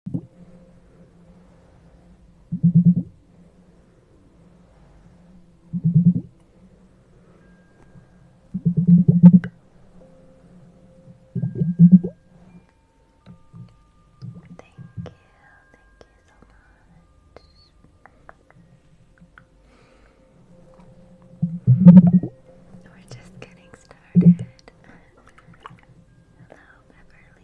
Thank you, thank you so much. We're just getting started. Hello, Beverly.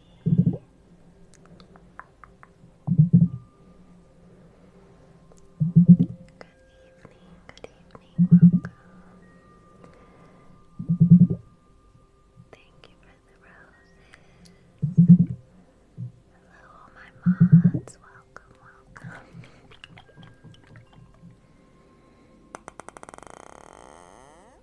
Good evening, good evening, welcome. Thank you for the roses. Hello, all my mods. Welcome, welcome.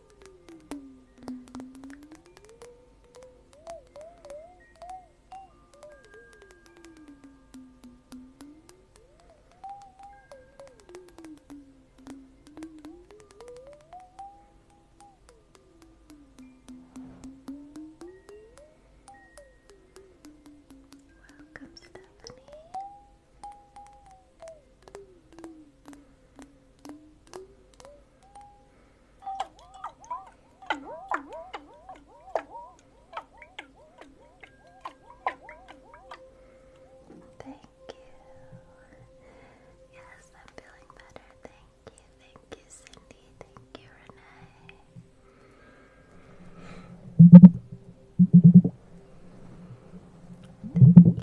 Welcome, Stephanie. Thank you. Yes, I'm feeling better. Thank you. Thank you, Cindy. Thank you, Renee. Thank you.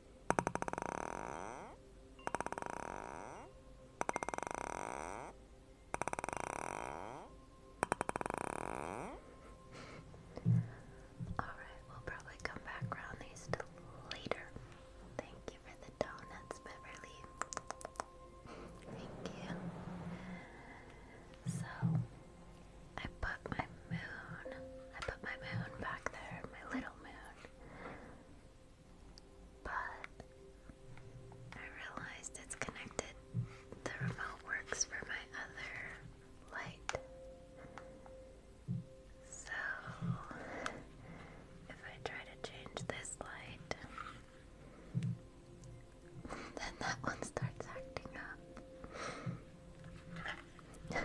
Alright, we'll probably come back around these two later. Thank you for the donuts, Beverly. Thank you. So, I put my moon. I put my moon back there, my little moon. But I realized it's connected. The remote works for my other light. So if I try to change this light, then that one starts acting up.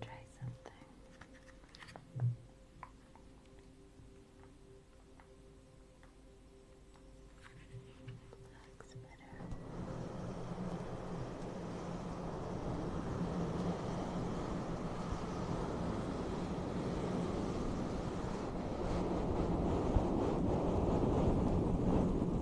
Try something. Looks better. Good.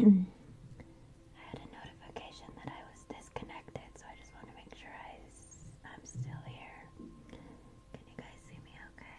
I had a notification that I was disconnected, so I just want to make sure I, am still here. Can you guys see me okay?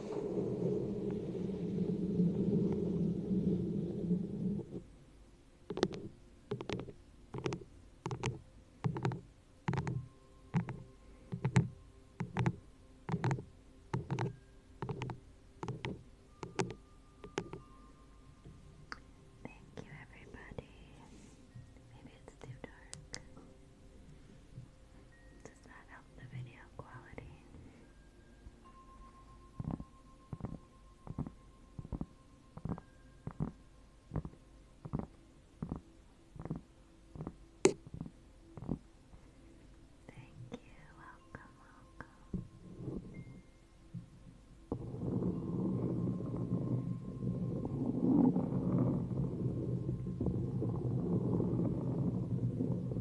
Thank you, everybody. Maybe it's too dark does not help the video quality. Thank you, welcome,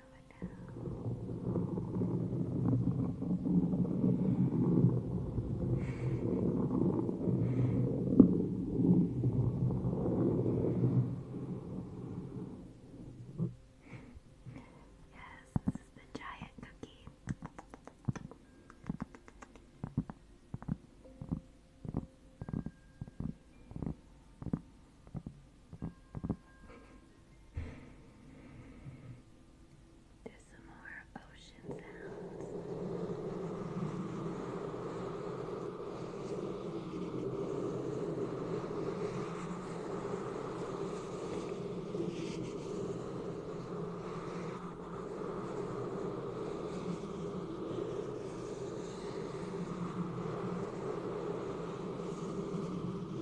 now. yes, this is the giant cookie. There's some more ocean sounds.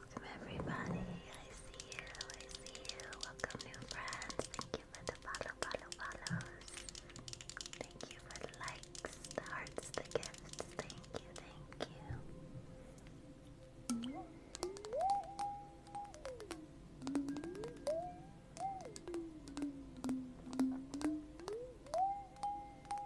welcome everybody. I see you, I see you. Welcome new friends. Thank you for the follow, follow, follows. Thank you for the likes, the hearts, the gifts. Thank you, thank you.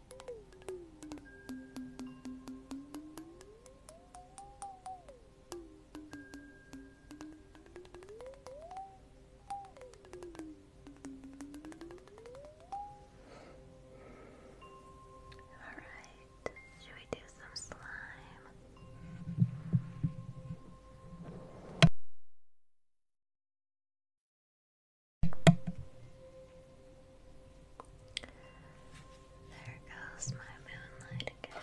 All right, should we do some slime? There goes my moonlight again.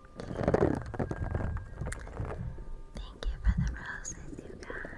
Thank you for the roses, you guys.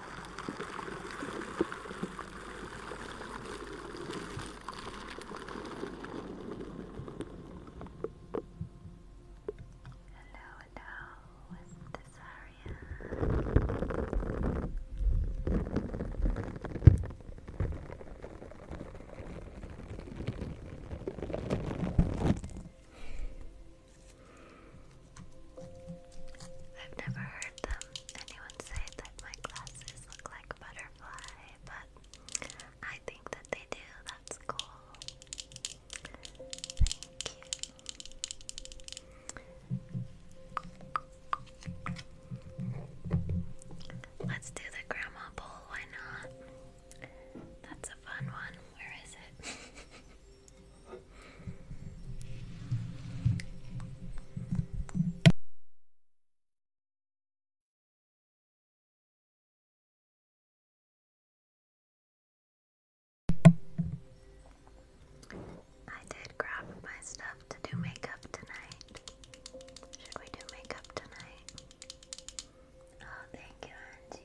hello, it's Desaria. I've never heard that anyone said that my glasses look like butterfly, but I think that they do. That's cool. Let's do the grandma bowl. Why not? That's a fun one. Where is it? I did grab my stuff to do makeup tonight. Should we do makeup tonight? Oh, thank you, Angie.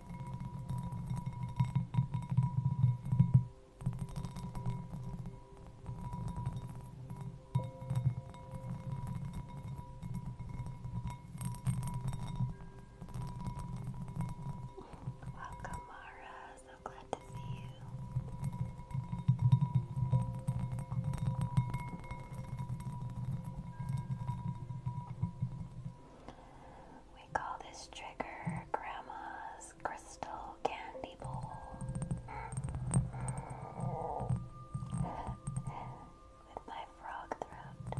Welcome, Mara. So glad to see you. We call this trigger Grandma's Crystal Candy Bowl. With my frog throat.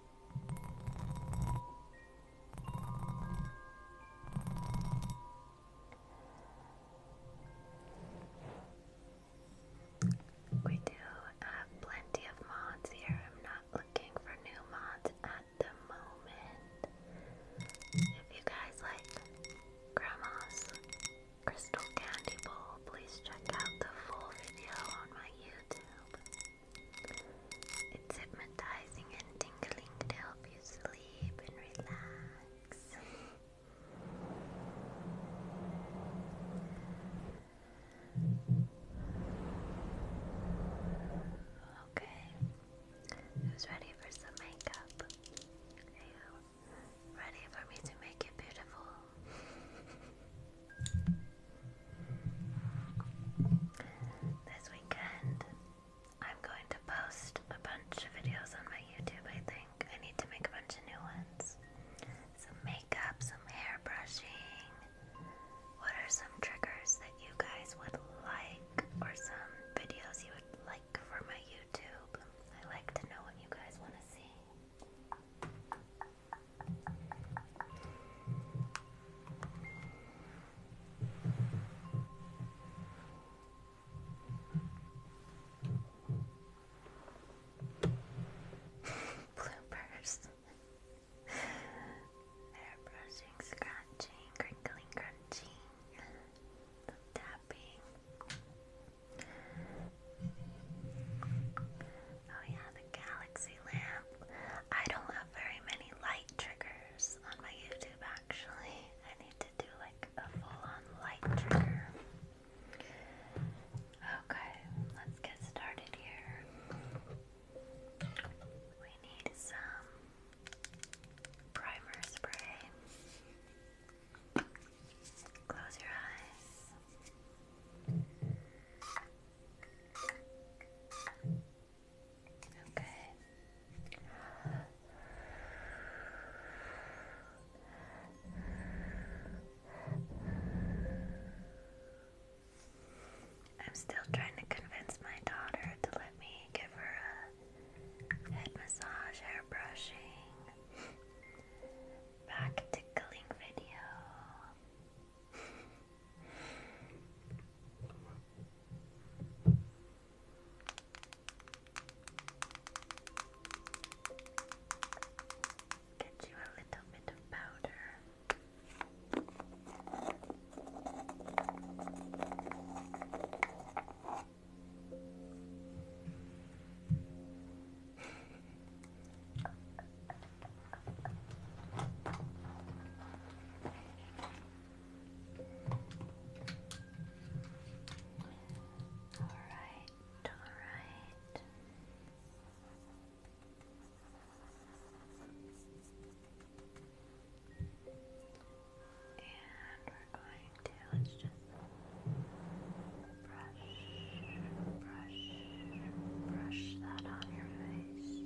We do have plenty of mods here. I'm not looking for new mods at the moment. If you guys like Grandma's Crystal Candy Bowl, please check out the full video on my YouTube. It's hypnotizing and tingling to help you sleep and relax. okay, who's ready for some makeup? ready for me to make you beautiful? This weekend, I'm going to post a bunch of videos on my YouTube, I think. I need to make a bunch of new ones. Some makeup, some hair brushing. What are some triggers that you guys would like, or some videos you would like for my YouTube? I like to know what you guys want to see. Bloopers. Hair scratching, crinkling, crunching, tapping. Oh yeah, the galaxy lamp. I don't have very many light triggers on my YouTube actually. I need to do like a full-on light trigger. Okay, let's get started here. We need some primer spray. Close your eyes. Okay. I'm still trying to convince my daughter to let me give her a head massage, hair brushing, back tickling video. Get you a little bit of powder. All right, all right. And we're going to, just brush brush, brush that on your face.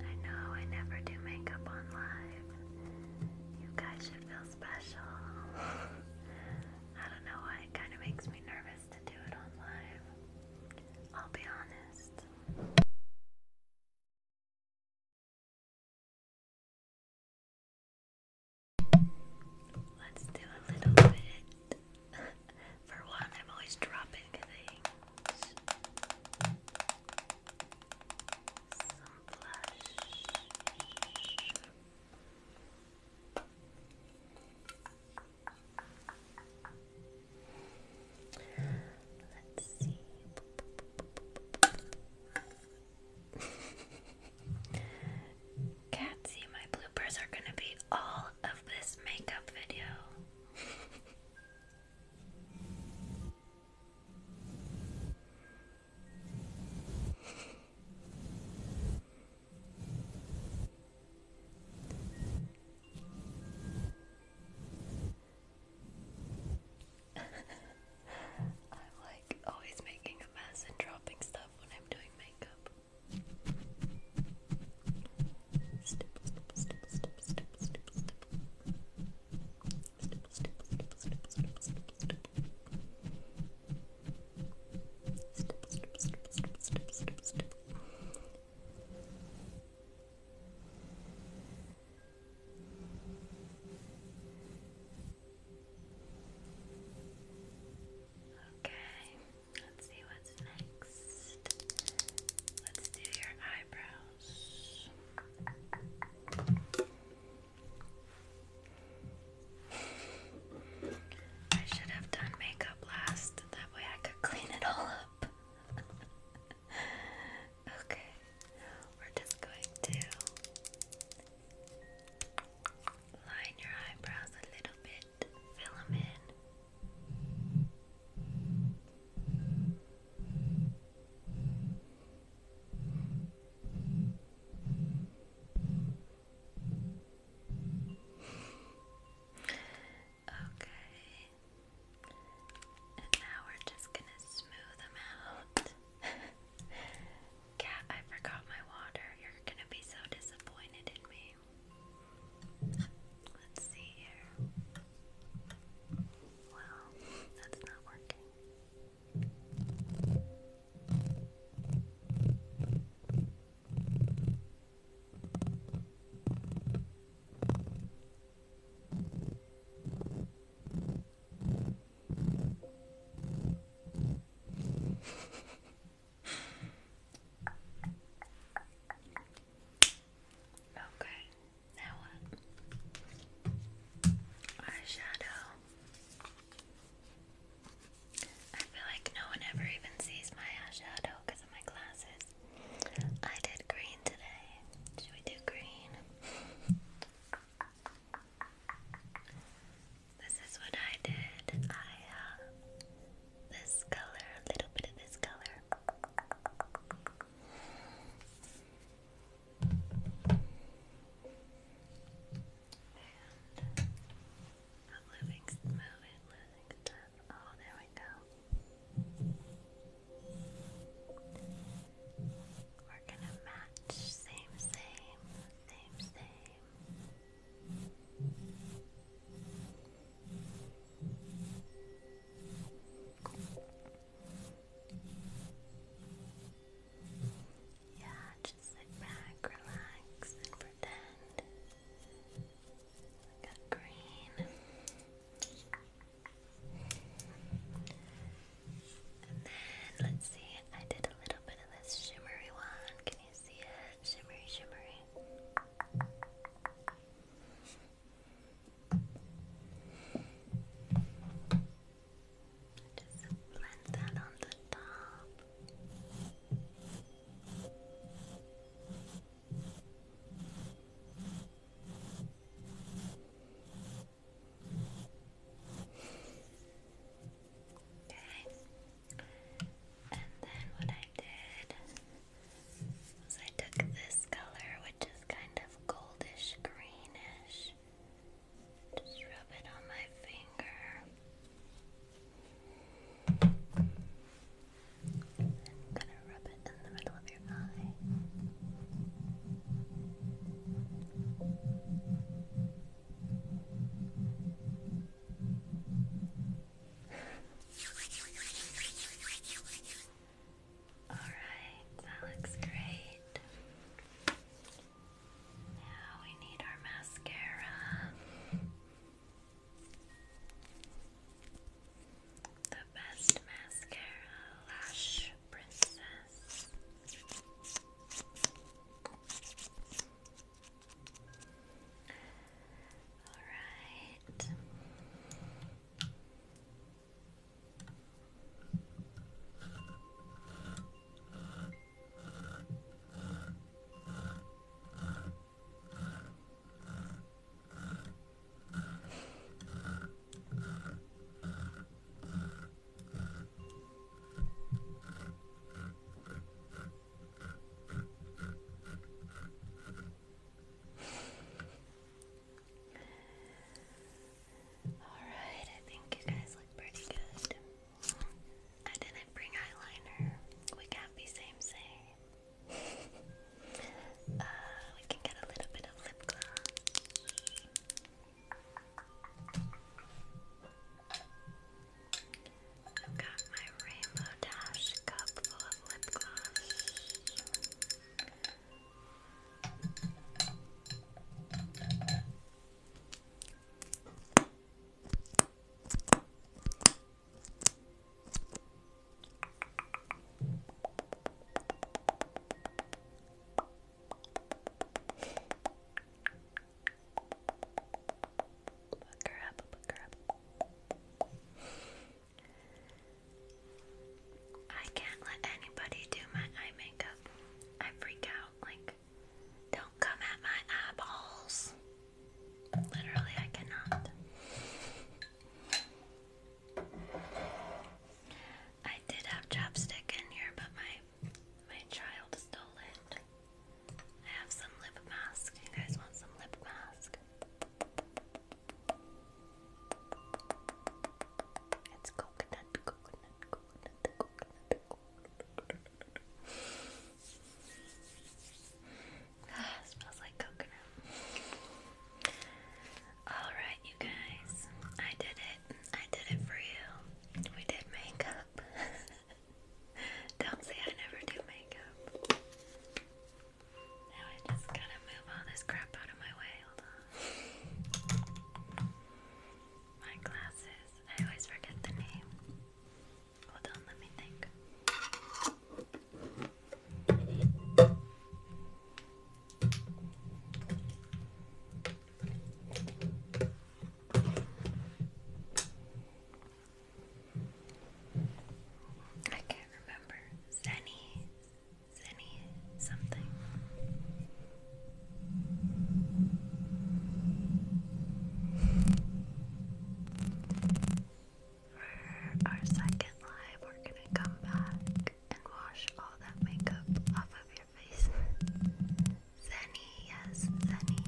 I know I never do makeup on live. You guys should feel special. I don't know why it kind of makes me nervous. I'll be honest. Let's do a little bit. For one, I'm always dropping things. Some blush. Let's see. Catsy, my bloopers are gonna be all of this makeup video. I'm like always making a mess and dropping stuff when I'm doing makeup. Okay, let's see what's next. Let's do your eyebrows. I should have done makeup last way I could clean it all up. okay, we're just going to line your eyebrows a little bit, fill them in. Okay. And now we're just gonna smooth them out. Cat, I forgot my water. You're gonna be so disappointed in me. Let's see here. Well, that's not working okay, now what? Eyeshadow. I feel like no one ever even sees my eyeshadow because of my glasses. I did green today. Should we do green? this is what I did. I uh this color, a little bit of this color. Oh, there we go. We're gonna match same, same, same, same. Yeah, just sit back, relax, and pretend green. And then let's see, I did a little bit of this shimmery one. Can you see it? Shimmery, shimmery. Just blend that on the top. Okay. And then what I did was I took this color, which is kind of goldish greenish. Just rub it on my finger. I'm gonna rub it in the middle of your eye. All right, that looks great. Now we need our mascara. The best mascara, Lash Princess. Alright, I think you guys look pretty good. I didn't bring eyeliner. We can't be same same uh, we can get a little bit of lip gloss. I've got my rainbow dash cup full of lip gloss. Book her up, book her up. I can't let anybody do my eye makeup. I freak out. Like, don't come at my eyeballs. Literally, I cannot. I did have chopstick in here, but my my child stole it. I have some lip mask. You guys want some lip mask? It's coconut, coconut, coconut, coconut, coconut. Ah, smells like coconut. Alright, you guys. I did it. I did it for you. We did makeup. Don't say I never do makeup. Now I just gotta move all this crap out of my way. Hold on. My glasses. I always forget the name. Hold on, let me think. I can't remember. Zenny, Zenny, something for our second live, we're gonna come back and wash all that makeup off of your face. Zenny, yes, Zenny.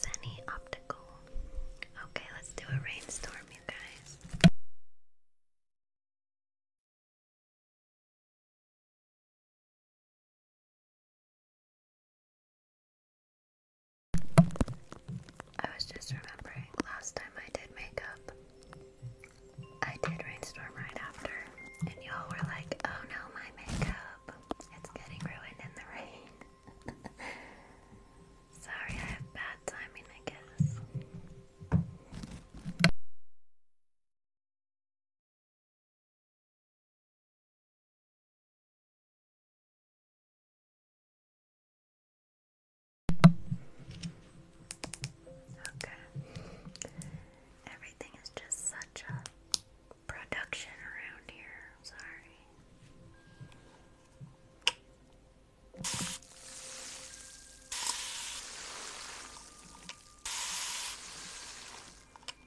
Zenny Optical. Okay, let's do a rainstorm, you guys. I was just remembering last time I did makeup, I did rainstorm right after, and y'all were like, oh no, my makeup, it's getting ruined in the rain. Sorry, I have bad timing, I guess. Okay. Everything is just such a production around here. sorry.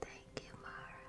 Thank you, Mara.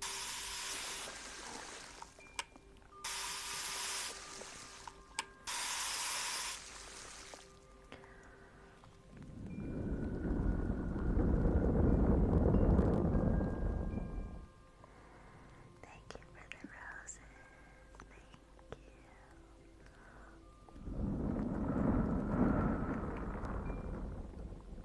Thank you for the roses. Thank you. Thank you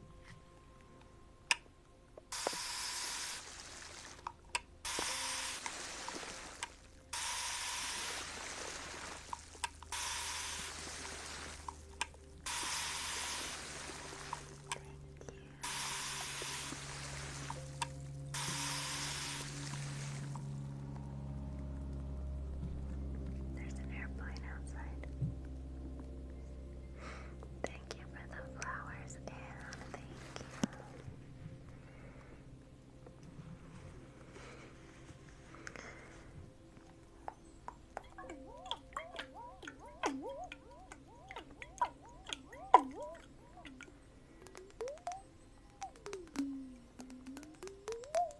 There's an airplane outside. Thank you for the flowers, Anne. Thank you.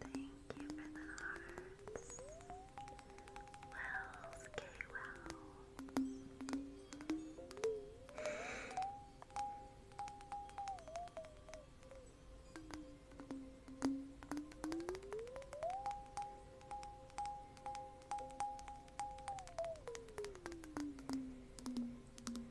Thank you for the hearts. Wells, K. Well.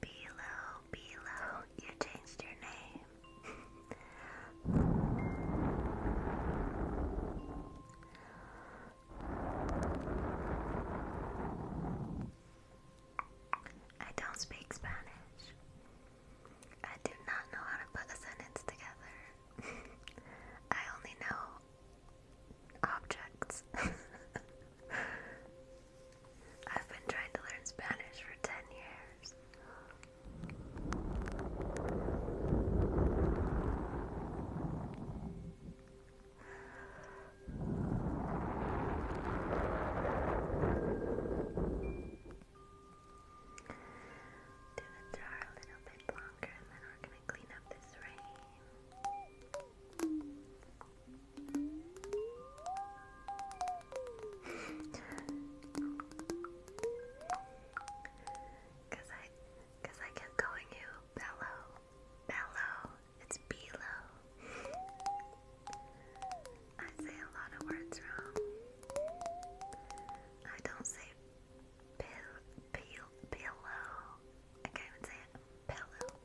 Below, below, you changed your name. I don't speak Spanish. I do not know how to put a sentence together. I only know objects. I've been trying to learn Spanish for 10 years. Do the jar a little bit longer and then we're going to clean up this rain. Cause I, cause I kept calling you Bello, Bello. It's Belo. I say a lot of words wrong. I don't say pill, pill, pillow. I can't even say Pillow.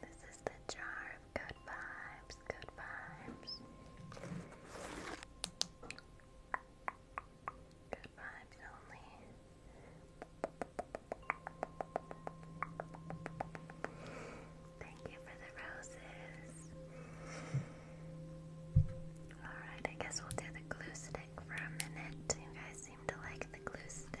This is the jar of good vibes, good vibes. Good vibes only. Thank you for the roses. Alright, I guess we'll do the glue stick for a minute. You guys seem to like the glue stick.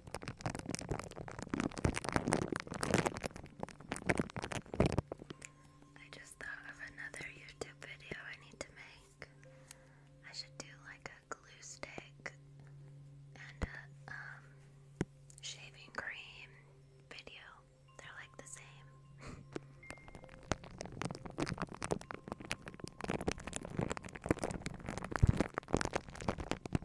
I just thought of another YouTube video I need to make. I should do like a glue stick and a um, shaving cream video. They're like the same.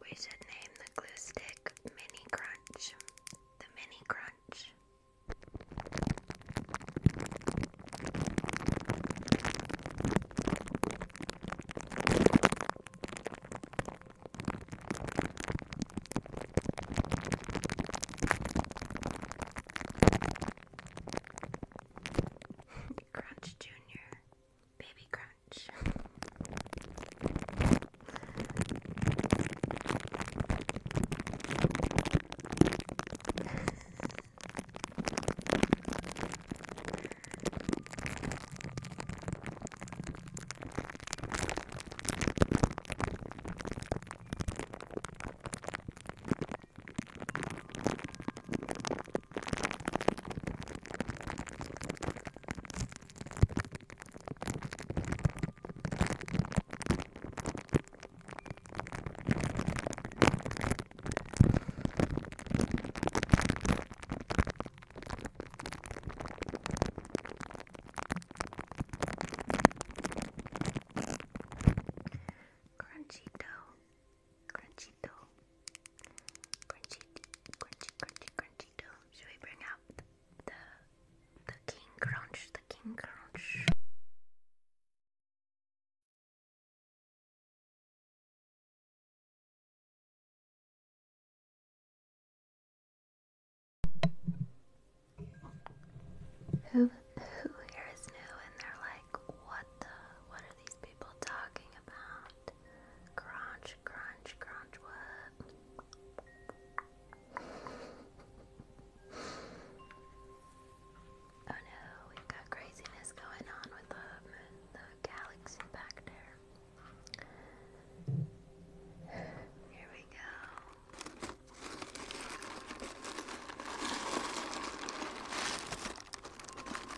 We should name the glue stick Mini Crunch. The Mini Crunch. Crunch Junior. Baby Crunch. Crunchy dough. Crunchy dough. Crunchy, crunchy, crunchy, crunchy dough. Should we bring out the, the, the king crunch? The king crunch. Who who hears new and they're like, what the what are these people talking about? Crunch, crunch, crunch, what? oh no, we got craziness going on with the, the galaxy back there. Here we go.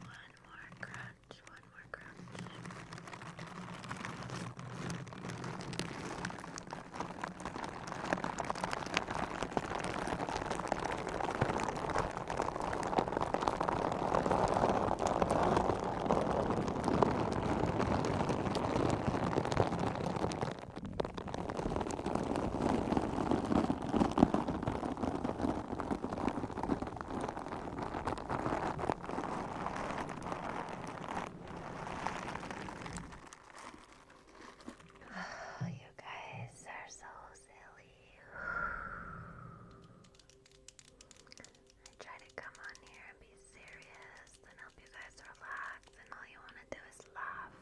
One more crunch, one more crunch. Oh, you guys are so silly. I try to come on here and be serious and help you guys relax, and all you want to do is laugh.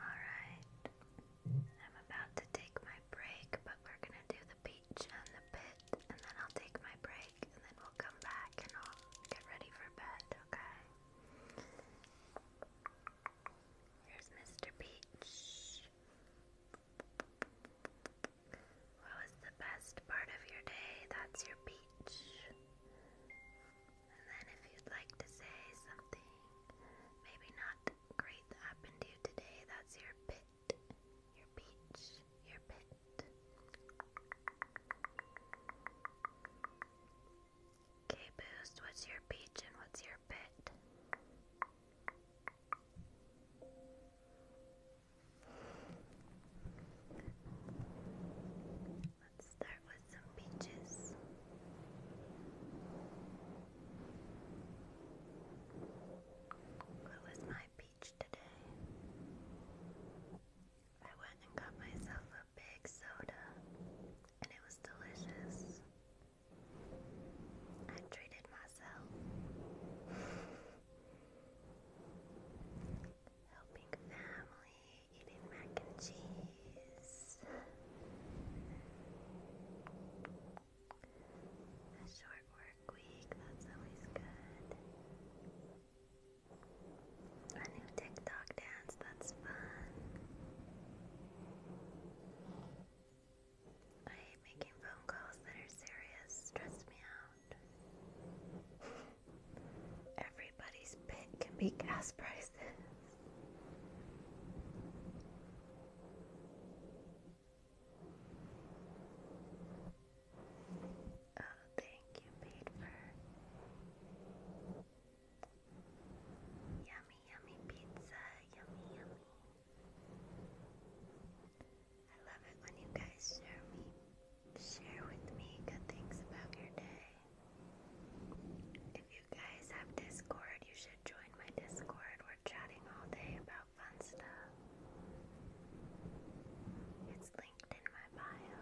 Alright. I'm about to take my break, but we're gonna do the beach and the pit, and then I'll take my break, and then we'll come back and i get ready for bed, okay? Here's Mr. Peach. What was the best part of your day? That's your peach. And then if you'd like to say something, maybe not great that happened to you today, that's your pit, your peach, your pit. Okay, Boost, what's your peach and what's your pit? start with some peaches. What was my peach today? I went and got myself a big soda, and it was delicious. I treated myself. Helping family eating mac and cheese. A short work week, that's always good. A new TikTok dance, that's fun. I hate making phone calls that are serious, stress me out. Everybody's pit can be gas prices. Oh, thank you, paper. Yummy, yummy pizza. Yummy, yummy. I love it when you guys share me, share with me good things about your day. If you you guys have Discord, you should join my Discord. We're chatting all day about fun stuff. It's linked in my bio.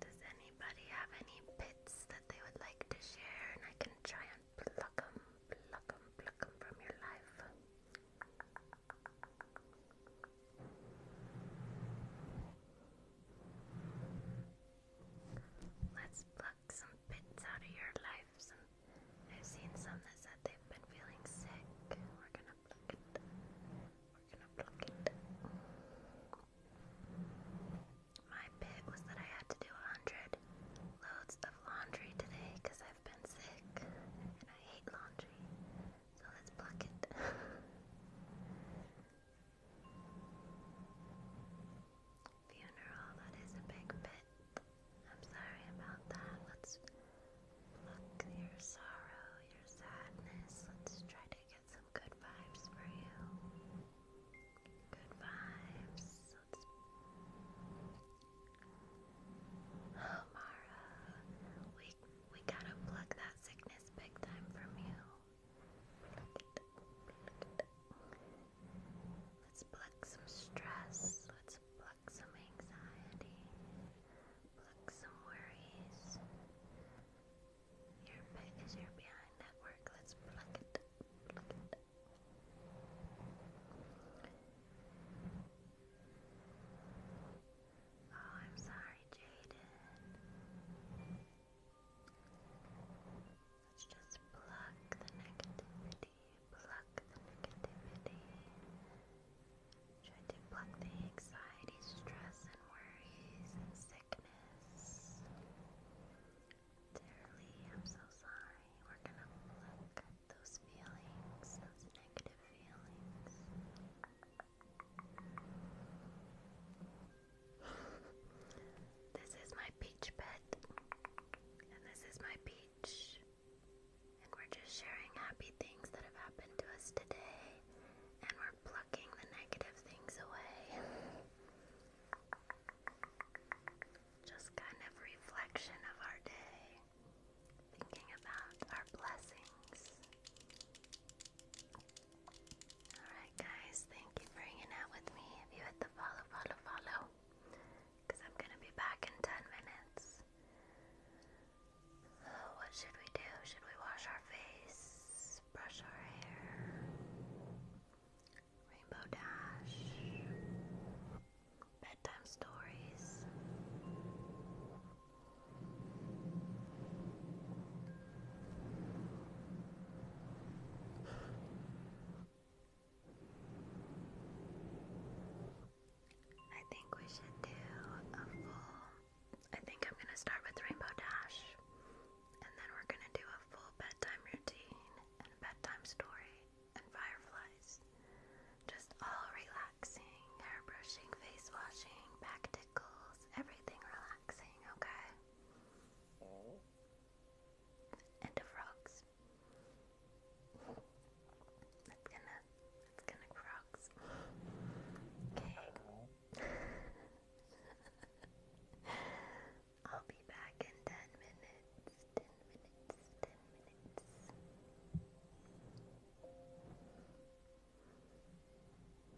Does anybody have any bits that they would like to share? And I can try and pluck them, pluck them, pluck them from your life. Let's pluck some bits out of your life. I've seen some that said they've been feeling sick. We're gonna pluck it. We're gonna pluck it. My bit was that I had to do a hundred loads of laundry today because I've been sick and I hate laundry. So let's pluck it. Funeral, that is a big bit. I'm sorry about that. Let's look your sorrow, your sadness. Let's try to get some good vibes for you. Good vibes. Let's oh, Mara, we we gotta plug that sickness big time from you. Let's pluck some stress. Let's pluck some anxiety. Pluck some worries. is your behind network. Let's pluck it. Pluck it. Oh, I'm sorry, Jaden. Let's just pluck the negativity, pluck the negativity. Try to pluck the anxiety, stress, and worries, and sickness. Dearly, I'm so sorry. We're gonna pluck those feelings, those negative feelings this is my peach pet, and this is my peach. And we're just sharing happy things that have happened to us today, and we're plucking the negative things away. Just kind of reflection of our day, thinking about our blessings. Alright, guys, thank you for hanging out with me. If you hit the follow, follow, follow, because I'm going to be back in 10 minutes. Oh, what should we do? Should we wash our face? Brush our hair? Rainbow Dash? Bedtime stories? I think we should do a full. I think I'm gonna start with Rainbow Dash, and then we're gonna do a full bedtime routine and bedtime story and fireflies. Just all relaxing, hair brushing, face washing, back tickles, everything relaxing relaxing, okay? And the frogs. It's gonna, it's gonna frogs. Okay. I'll be back in ten minutes. Ten minutes. Ten minutes.